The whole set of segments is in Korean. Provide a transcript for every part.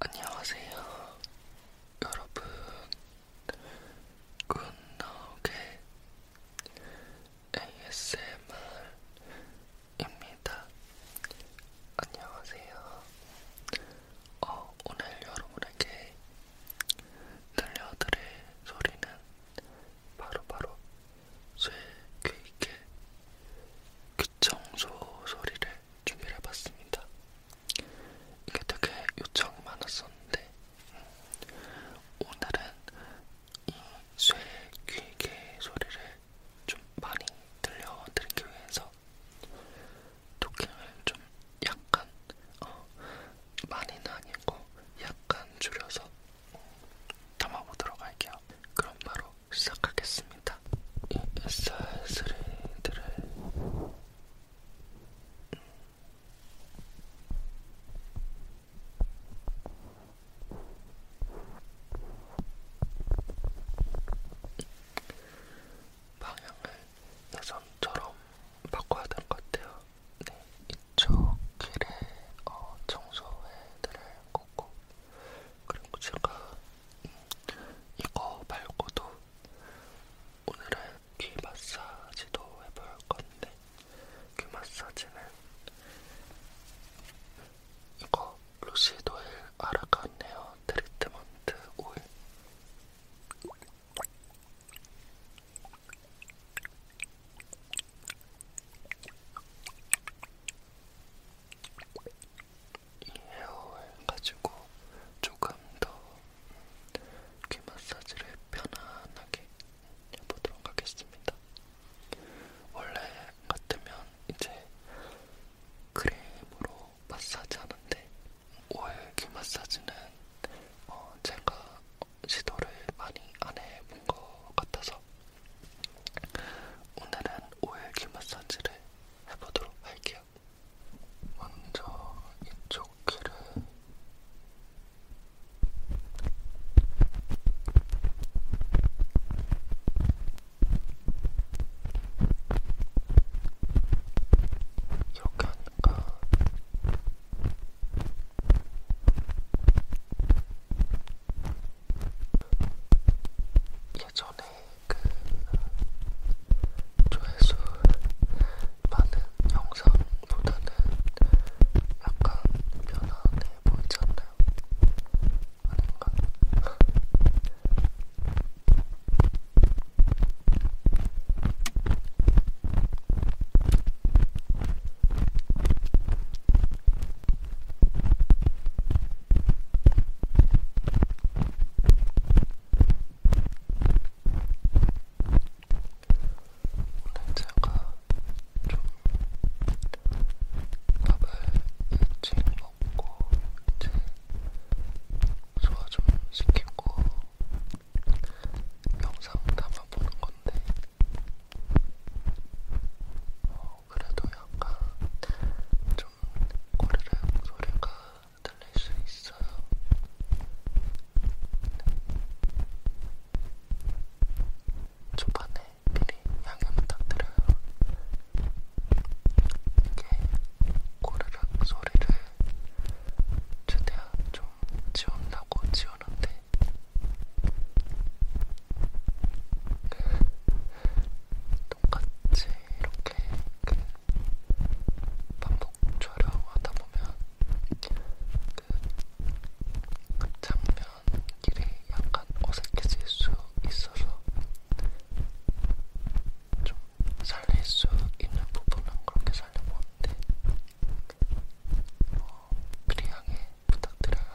안녕하세요 여러분 굿나오게 ASMR입니다 안녕하세요 어, 오늘 여러분에게 들려드릴 소리는 바로바로 쇠귀 있게 귀청소 소리를 준비를 해봤습니다. 이게 되게 요청이 많았었는데 음, 오늘은 이쇠 귀개 소리를 좀 많이 들려드리기 위해서 토킹을 좀 약간 어, 많이는 아니고 약간 줄여서 음, 담아보도록 할게요. 그럼 바로 시작하겠습니다. 이 SR 소리들을 방향을 예전처럼 바꿔야 될 것 같아요. 네, 이쪽 길에 어, 청소회들을 꽂고 그리고 제가 이거 말고도 오늘은 귀 마사지도 해볼 건데 귀 마사지는 이거 루시도일 아라칸 헤어 트리트먼트 오일 이 헤어를 가지고 조금 더귀 마사지를 편안하게 해보도록 하겠습니다. 원래 같으면 이제 크림으로 마사지 하는데 오일 귀 마사지는 어 제가 시도를 많이 안 해본 것 같아서 오늘은 오일 귀 마사지를 해보도록 할게요. 드릴게요. 먼저 이쪽 귀를 이렇게 하니까 예전에 그 조회수 많은 영상보다는 약간 편안해 보이지 않나요? 아닌가? 남자가 좀 밥을 일찍 먹고 이제 소화 좀 시키고 영상 담아보는 건데 어, 그래도 약간 좀 꼬르륵 소리가 들릴 수 있어요. 네. 초반에 미리 양해 부탁드려요. 이게 꼬르륵 소리를 최대한 좀 지운다고 지우는데 똑같이 이렇게 그 반복 촬영하다 보면 그 장면 길이 약간 어색해질 수 있어서 좀 살릴 수 있는 부분은 그렇게 살려보는데 어, 미리 양해 부탁드려요.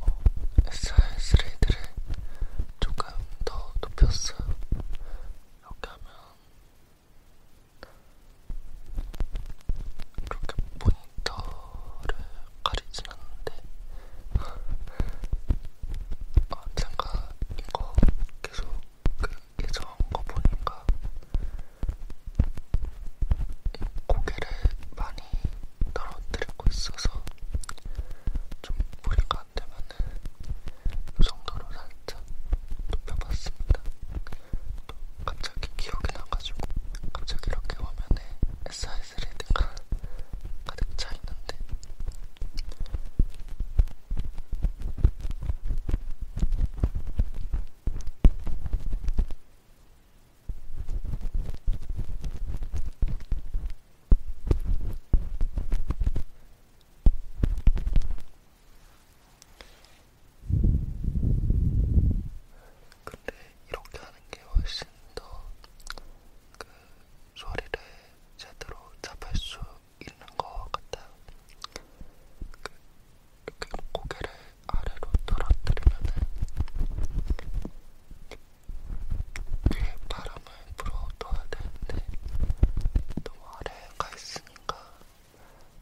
어, SR 스레이드를 조금 더 높였어요. 이렇게 하면 이렇게 모니터를 가리진 않는데 아, 제가 이거 계속 그 예전 거 보니까 고개를 많이 떨어뜨리고 있어서 좀 무리가 안 되면은 이 그 정도로 살짝 높여봤습니다. 또 갑자기 기억이 나가지고 갑자기 이렇게 화면에 SIS 레드가 가득 차 있는데. 근데 이렇게 하는 게 훨씬 더 그 소리를 제대로 잡을 수 있는 것 같아요. 그 이렇게 고개를 아래로 떨어뜨리면은 위에 바람을 불어넣어야 되는데 너무 아래에 가 있으니까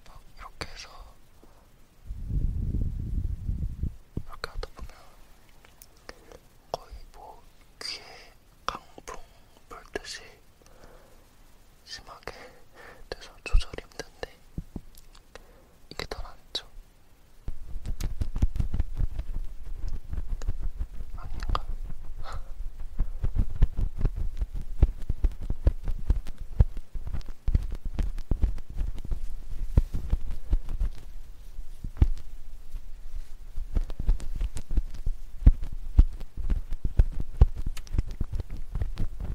막 이렇게 해서 이렇게 하다 보면 거의 뭐 귀에 강풍 불듯이 심하게 돼서 조절 힘든데 이게 더 낫죠? 아닌가?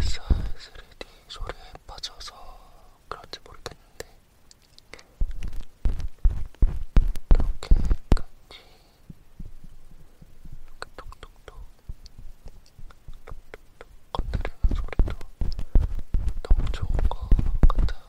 SR3D 소리에 빠져서 그런지 모르겠는데 이렇게 같이 이렇게 톡톡톡 톡톡톡 건드리는 소리도 너무 좋은 것 같아요.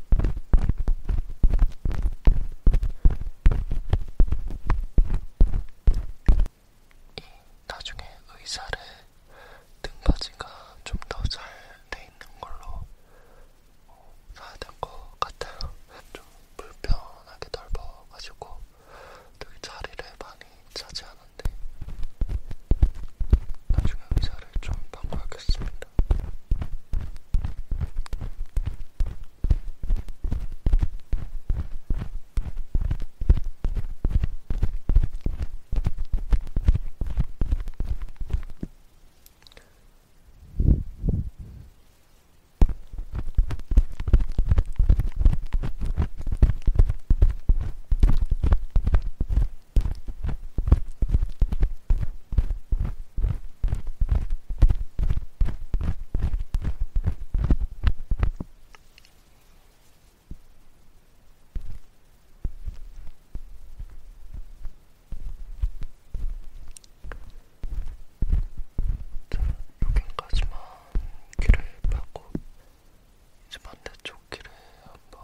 나중에 의자를 등받이가 좀 더 잘 돼 있는 걸로 사야 될것 같아요. 좀 불편하게 넓어가지고 되게 자리를 많이 차지하는데 나중에 의자 의자를 좀 바꿔야겠습니다. 여기까지만 길을 파고 이제 반대쪽 길을 한번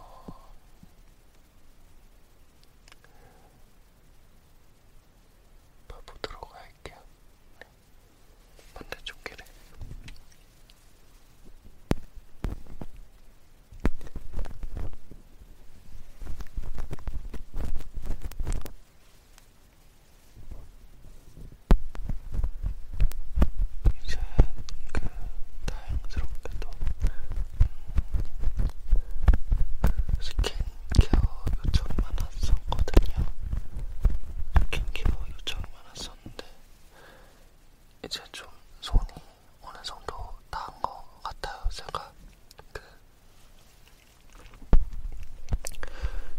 봐보도록 할게요. 네. 반대쪽 길에. 이제 그 다행스럽게도 스킨케어 요청이 많았었거든요. 스킨케어 요청이 많았었는데 이제 좀 손이 어느 정도 닿은 것 같아요. 제가 그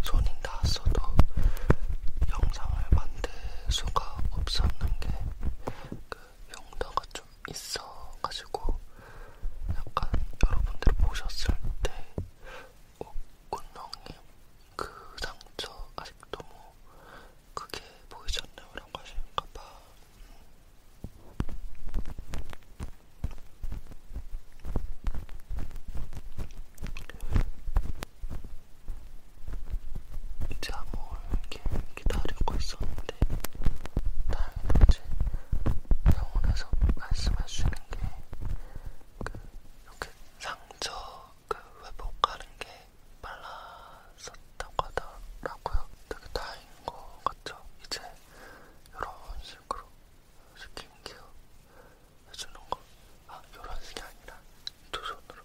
손이 닿았어도 영상을 만들 수가 없었는 게그 용도가 좀 있어가지고 약간 여러분들 보셨을 때 어, 꽃농님 그 상처 아직 너무 뭐 크게 보이지 않나요? 라고 하시는가봐 이제 아무 일 기다리고 있었는데 있는데 네. 다행히도 이제 병원에서 말씀할 수 있는 게 그 이렇게 상처 그 회복하는 게 빨랐었다고 하더라고요. 되게 다행인 것 같죠. 이제 이런 식으로 스킨케어 해주는 거. 아, 이런 식이 아니라 두 손으로.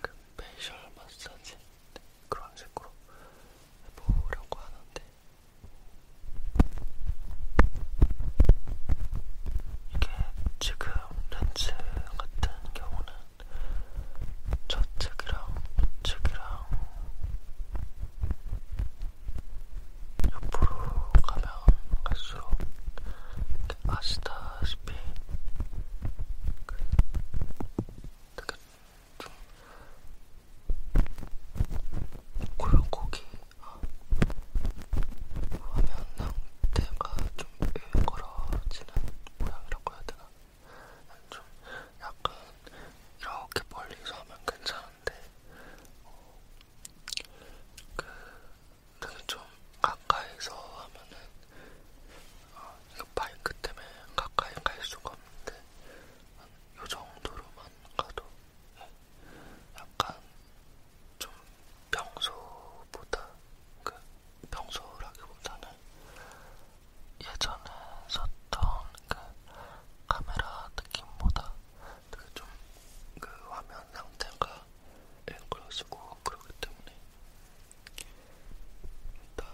그 페이셜 마사지 네, 그런 식으로 해보려고 하는데 이게 지금 렌즈 같은 경우는 좌측이랑 우측이랑 옆으로 가면 갈수록 아시다시피 그 되게 좀 골고기 어, 화면 상태가 좀 일그러지는 모양이라고 해야 되나? 좀 약간 이렇게 멀리서 하면 괜찮은데 어, 그 되게 좀 가까이서 하면은 어, 이거 바이크 때문에 가까이 갈 수가 없는데 한이 정도로만 가도 약간 좀 평소보다 그 평소라기보다는 예전에 썼던 그 카메라 느낌보다 좀그 화면 상태가 앵글러지고 예, 그러기 때문에 일단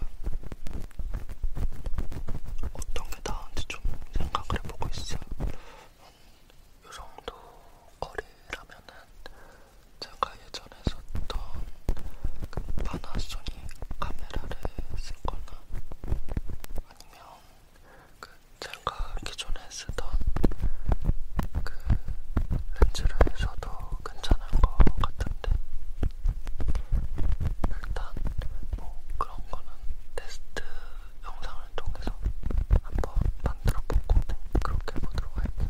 어떤 게 나은지 좀 생각을 해보고 있어요. 이 음, 정도 거리라면은 제가 예전에 썼던 그 파나소닉 카메라를 쓸거나 아니면 그 제가 기존에 쓰던 그 렌즈를 써도 괜찮은 것 같은데 일단 뭐 그런 거는 테스트 영상을 통해서 한번 만들어 보고 그렇게 보도록 할게요.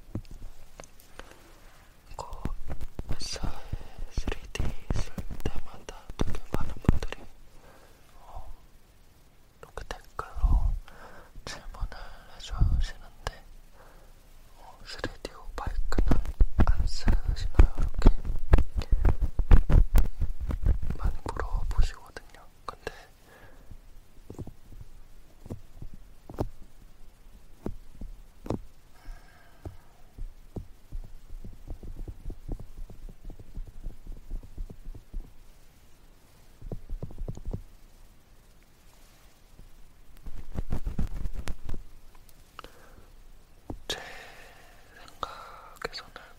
그 회사에 3D 쓸 때마다 되게 많은 분들이 어, 이렇게 댓글로 질문을 해주시는데 어, 3D 오바이크는 안 쓰시나요? 이렇게 많이 물어보시거든요. 근데 제 생각에서는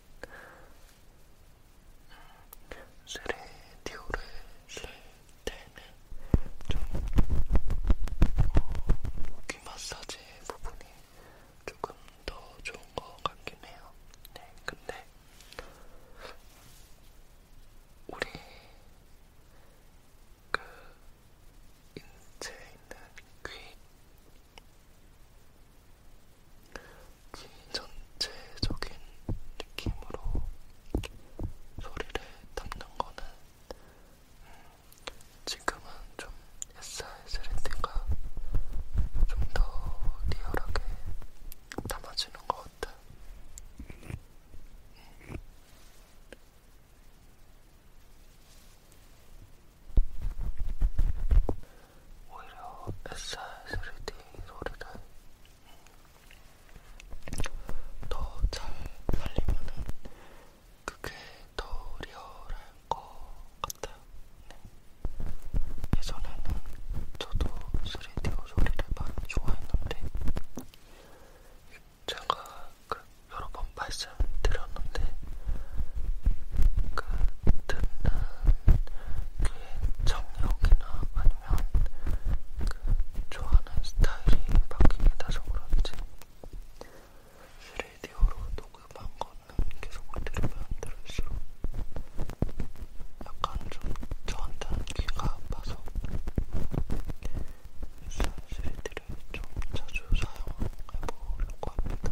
스레디오를 쓸 때는 좀 어, 귀마사지 부분이 조금 더 좋은 것 같긴 해요. 네, 근데 우리 그 인체에 있는 귀, 귀 전체적인 느낌으로 소리를 담는 거는 음, 지금은 좀 SR3D가 좀 더 리얼하게 담아지는 것 같아. 음. 오히려 SR3D 소리를 음, 더잘 말리면은 그게 더 리얼할 것 같아요. 네. 예전에는 저도 3D 소리를 많이 좋아했는데 제가 그 여러 번 말씀드렸는데 그 듣는 귀의 정력이나 아니면 보면 그 좋아하는 스타일이 바뀌게 돼서 그런지 3디오로 녹음한 거는 계속 들으면 들을수록 약간 좀 저한테는 귀가 아파서 일단 3D를 좀 자주 사용해보려고 합니다.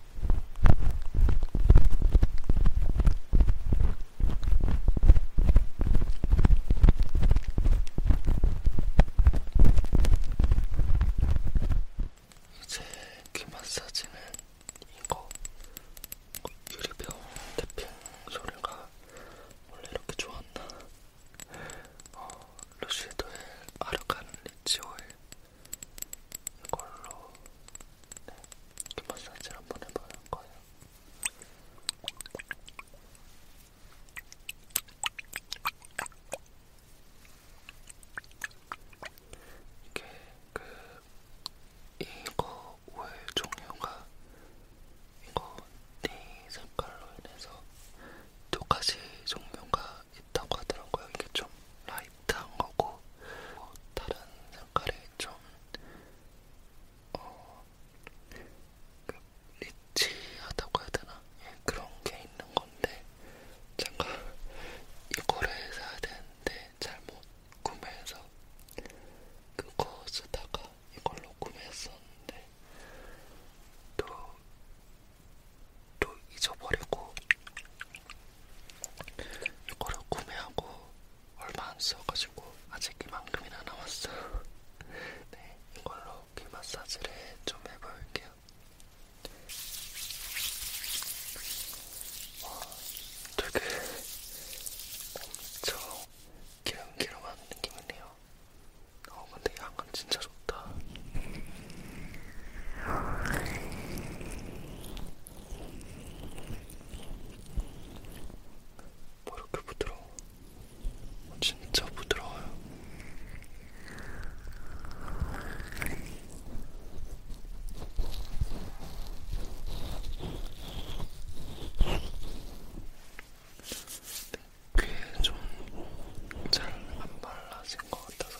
이제 귀 마사지는 이거 유리병 태핑 소리가 원래 이렇게 좋았나? 어, 루시드의 아르카는 리치오의 이걸로 네, 이 마사지를 한번 해볼 거예요. 이게 그 이거 오일 종류가 이거 네 색깔로 인해서 두 가지 종류가 있다고 하더라고요. 이게 좀 라이트 비슷한 거고 뭐 다른 색깔이 좀 어, 그 리치하다고 해야 되나? 예, 그런 게 있는 건데 잠깐 이거를 사야 되는데 잘못 구매해서 그거 쓰다가 이걸로 구매했었는데 또, 또 잊어버리고 이거를 구매하고 얼마 안 써가지고 아직 이만큼이나 남았어. 네, 이걸로 귀 마사지를 좀 해볼게요. 와, 어, 되게 엄청 기름기름한 느낌이네요. 어, 근데 향은 진짜 좋다. 뭐 이렇게 부드러워? 진짜 부드러워요. 네, 귀에 좀 잘 안 발라진 것 같아서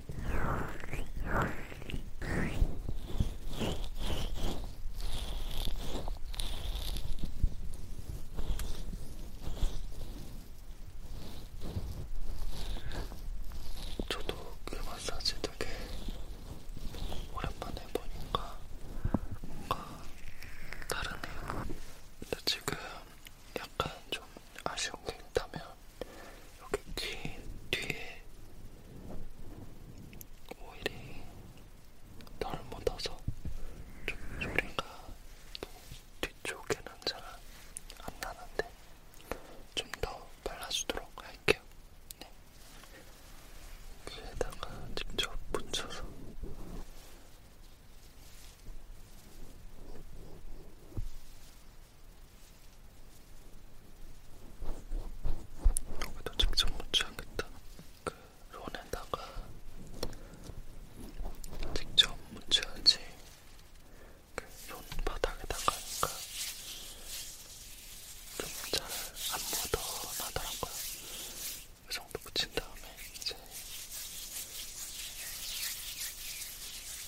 저도 그 마사지 되게 오랜만에 보니까 뭔가 다르네요. 근데 지금 약간 좀 아쉬운 게 있다면 여기 귀 뒤에 오일이 덜 묻어서 좀 소리가 뒤쪽에는 잘 안 나는데 좀 더 발라주도록 할게요. 네. 귀에다가 직접 붙여서 여기도 직접 묻혀야겠다. 그 론에다가 직접 묻혀야지. 그 론 바닥에다가 하니까 좀잘안 묻어나더라고요. 그 정도 묻힌 다음에 이제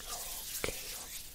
이렇게 해서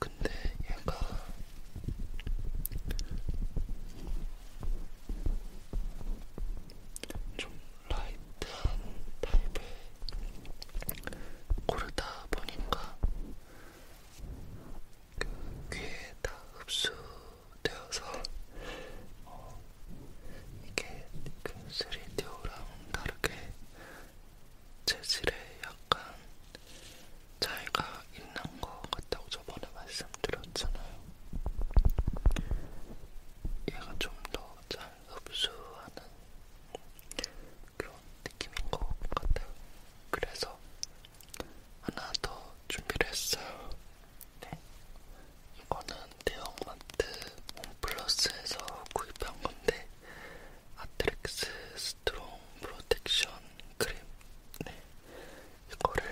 근데 얘가 좀 라이트한 타입을 고르다 보니까 그 귀에 다 흡수되어서 어, 이게 그 3DO랑 다르게 재질에 약간 차이가 있는 것 같다고 저번에 말씀드렸잖아요. 얘가 좀 더 잘 흡수하는 그런 느낌인 것 같아요. 그래서 하나 더 준비를 했어요. 네. 이거는 대형마트 홈플러스에서 구입한 건데 아트렉스 스트롱 프로텍션 크림. 네. 이거를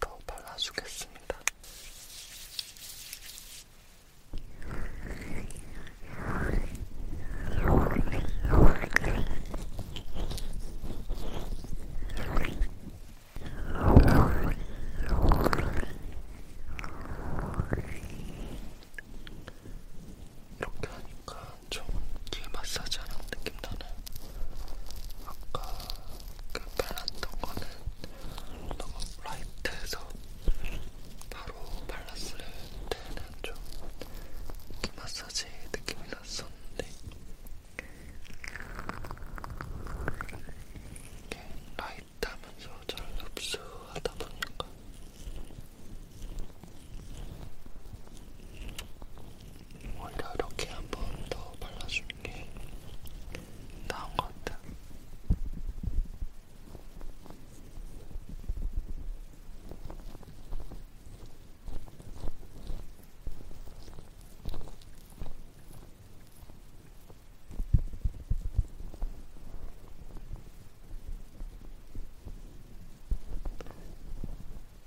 더 발라주겠습니다. 이렇게 하니까 좀귀 마사지 하는 느낌 나는 아까 그 발랐던 거는 너무 라이트해서 바로 발랐을 때는 좀귀 마사지 느낌이 났었는데 이게 라이트하면서 잘 흡수하다 보니까 오히려 이렇게 한번 더 발라주는 게 나은 것 같아.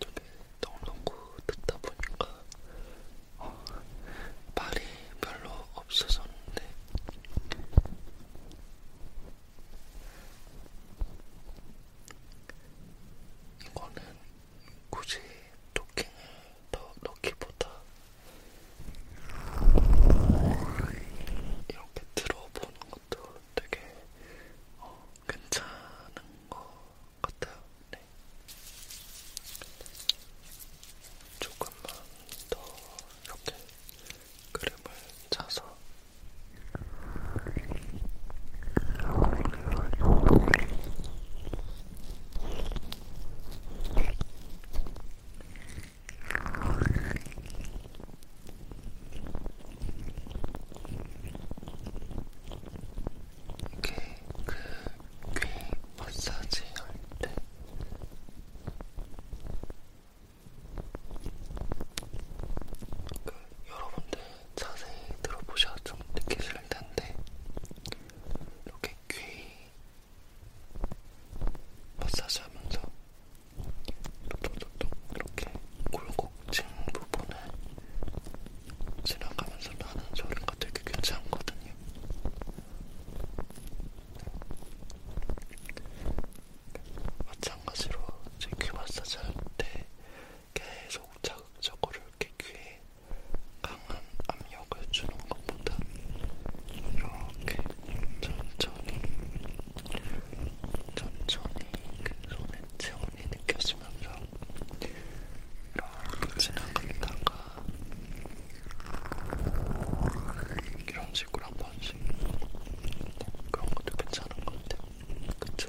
저기 동동구 듣다 보니까 어, 말이 별로 없어졌는데 이거는 굳이 토킹을 더 넣기보다 이렇게 들어보는 것도 되게 어, 괜찮은 것 같아요. 네. 조금만 더 이렇게 그림을 짜서 이게 그 귀 마사지 할때 그 여러분들 자세히 들어보셔야 좀 느끼실 텐데 이렇게 귀 마사지하면서 톡톡톡톡 이렇게 굴곡진 부분을 지나가면서 나는 소리가 되게 괜찮거든요. 마찬가지로 제귀 마사지 할때 계속 자극적으로 이렇게 귀에 강한 압력을 주는 것보다 이렇게 천천히 천천히 그 손의 체온이 느껴지면서 이렇게 지나갔다가 이런 식으로 한 번씩 그런 것도 괜찮은 것 같아요. 그쵸?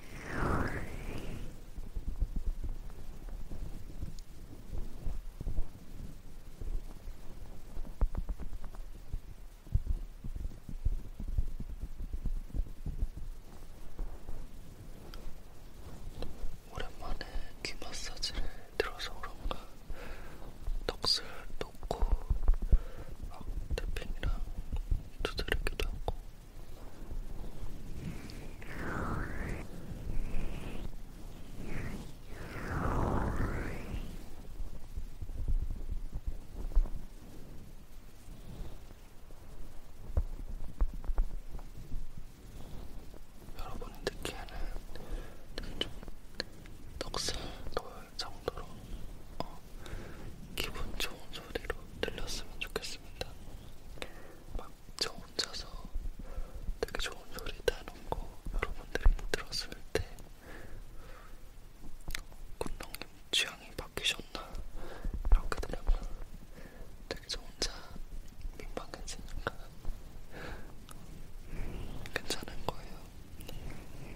오랜만에 귀 마사지를 들어서 그런가 넋을 놓고 막 태핑이랑 두드리기도 하고 여러분 듣기에는 좀 떡슬 보일 정도로 어, 기분 좋은 소리로 들렸으면 좋겠습니다. 막 저 혼자서 되게 좋은 소리 나는 거 여러분들이 들었을 때 군동님 취향이 바뀌셨나? 이렇게 들으면 되게 저 혼자 민망해지니까 괜찮은 거예요. 네.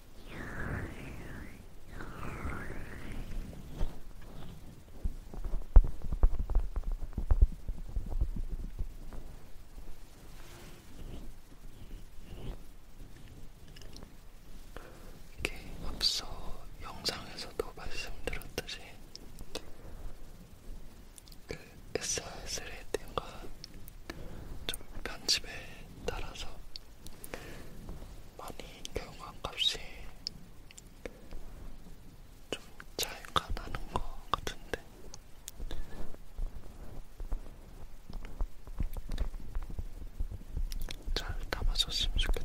이게 앞서 영상에서도 말씀드렸듯이 그 SR3D가 좀 편집에 따라서 많이 경우한 값이 좀 차이가 나는 것 같은데 잘 담아줬으면 좋겠다.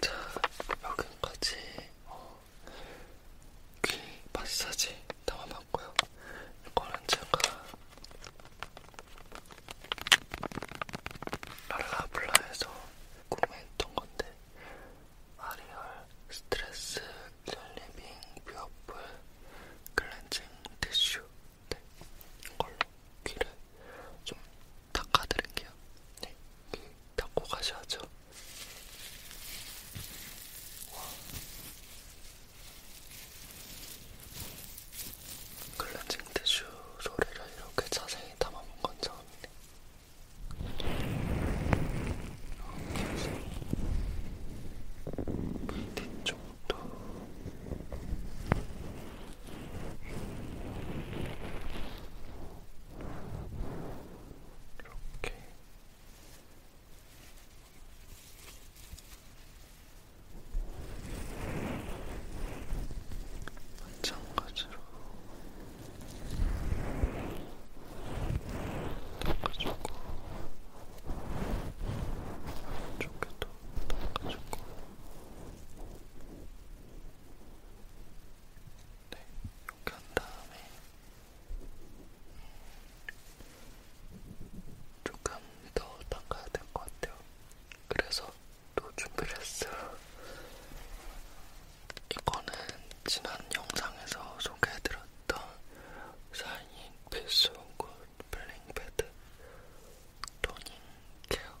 자, 여기까지 어, 귀 그 마사지 담아봤고요. 이거는 제가 랄라블라에서 구매했던 건데 아리얼 스트레스 렐리빙 뷰어풀 클렌징 티슈 네, 이걸로 귀를 좀 닦아드릴게요. 네, 닦고 가셔야죠. 와. 클렌징 티슈 소리를 이렇게 자세히 담아본 건 처음이네. 이렇게 뒤쪽도 이렇게 마찬가지로 닦아주고 이쪽에도 닦아주고 네, 이렇게 한 다음에 조금 더 닦아야 될 것 같아요. 그래서 또 준비를 했어요. 이거는 지난 영상에서 소개해드렸던 샤이닝 필수 온 블링 패드 토닝 케어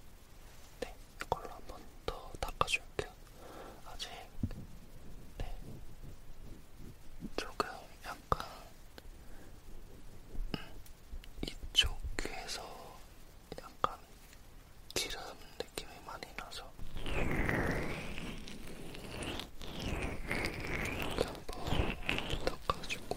네, 이걸로 한 번 더 닦아줄게요. 아직 네, 조금 약간 음, 이쪽 귀에서 약간 기름 느낌이 많이 나서 이렇게 한 번 닦아주고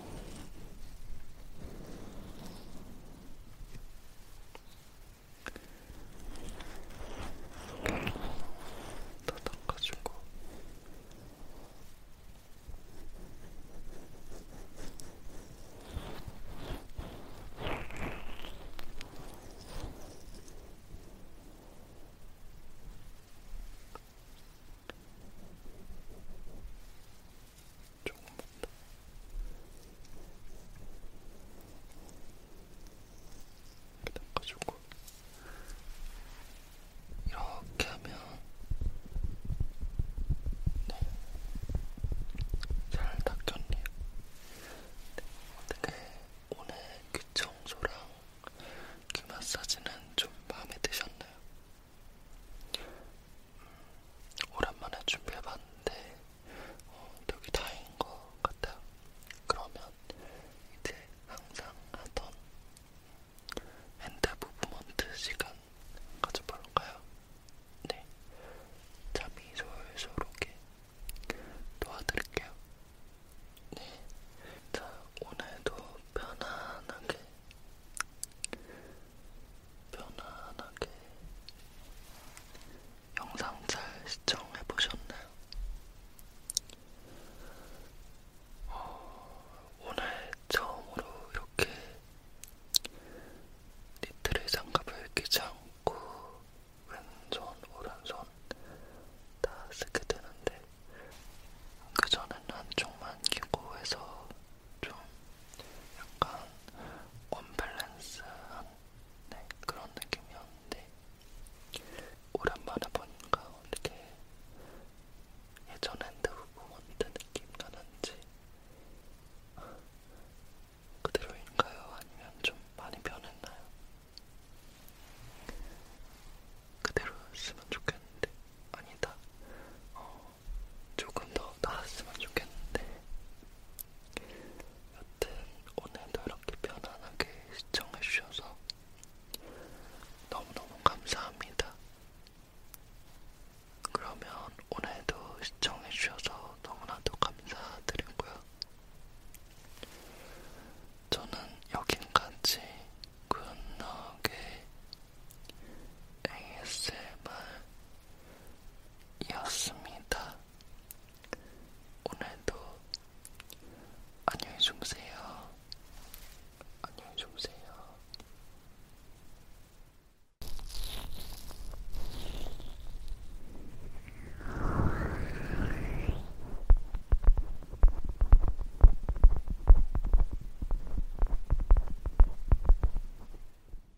다 닦아주고 조금만 더. 이렇게 닦아주고 이렇게 하면 네. 잘 닦였네요. 네. 어떻게 오늘 귀 청소랑 귀 마사지는 좀 마음에 드셨나요? 오랜만에 준비해봤는데 어, 되게 다행인 것 같아요. 그러면 이제 항상 하던 핸드 무브먼트 시간 가져볼까요? 네, 잠이 솔솔 오게 도와드릴게요. 네, 자 오늘도 편안하게 편안하게 영상 잘 시청해 보셨나요? 어, 오늘 처음으로 이렇게 니트를 장갑을 끼지 않고 왼손, 오른손 다 쓰게 되는데 그 전에는 한쪽만 끼고 해서 좀 약간 언밸런스한 네, 그런 느낌이었는데 오랜만에 보니까 어떻게 예전 핸드폰보다 느낌 나는지 그대로인가요? 아니면 좀 많이 변했나요? 그대로였으면 좋겠는데 아니다. 어, 조금 더 나았으면 좋겠는데 여튼 오늘도 이렇게 편안하게 시청해주셔서 너무너무 감사합니다. 그러면 오늘도 시청해주셔서 너무나도 감사드리고요. 저는 여긴까지 굿나게 ASMR 이었습니다. 오늘도 안녕히 주무세요. 안녕히 주무세요.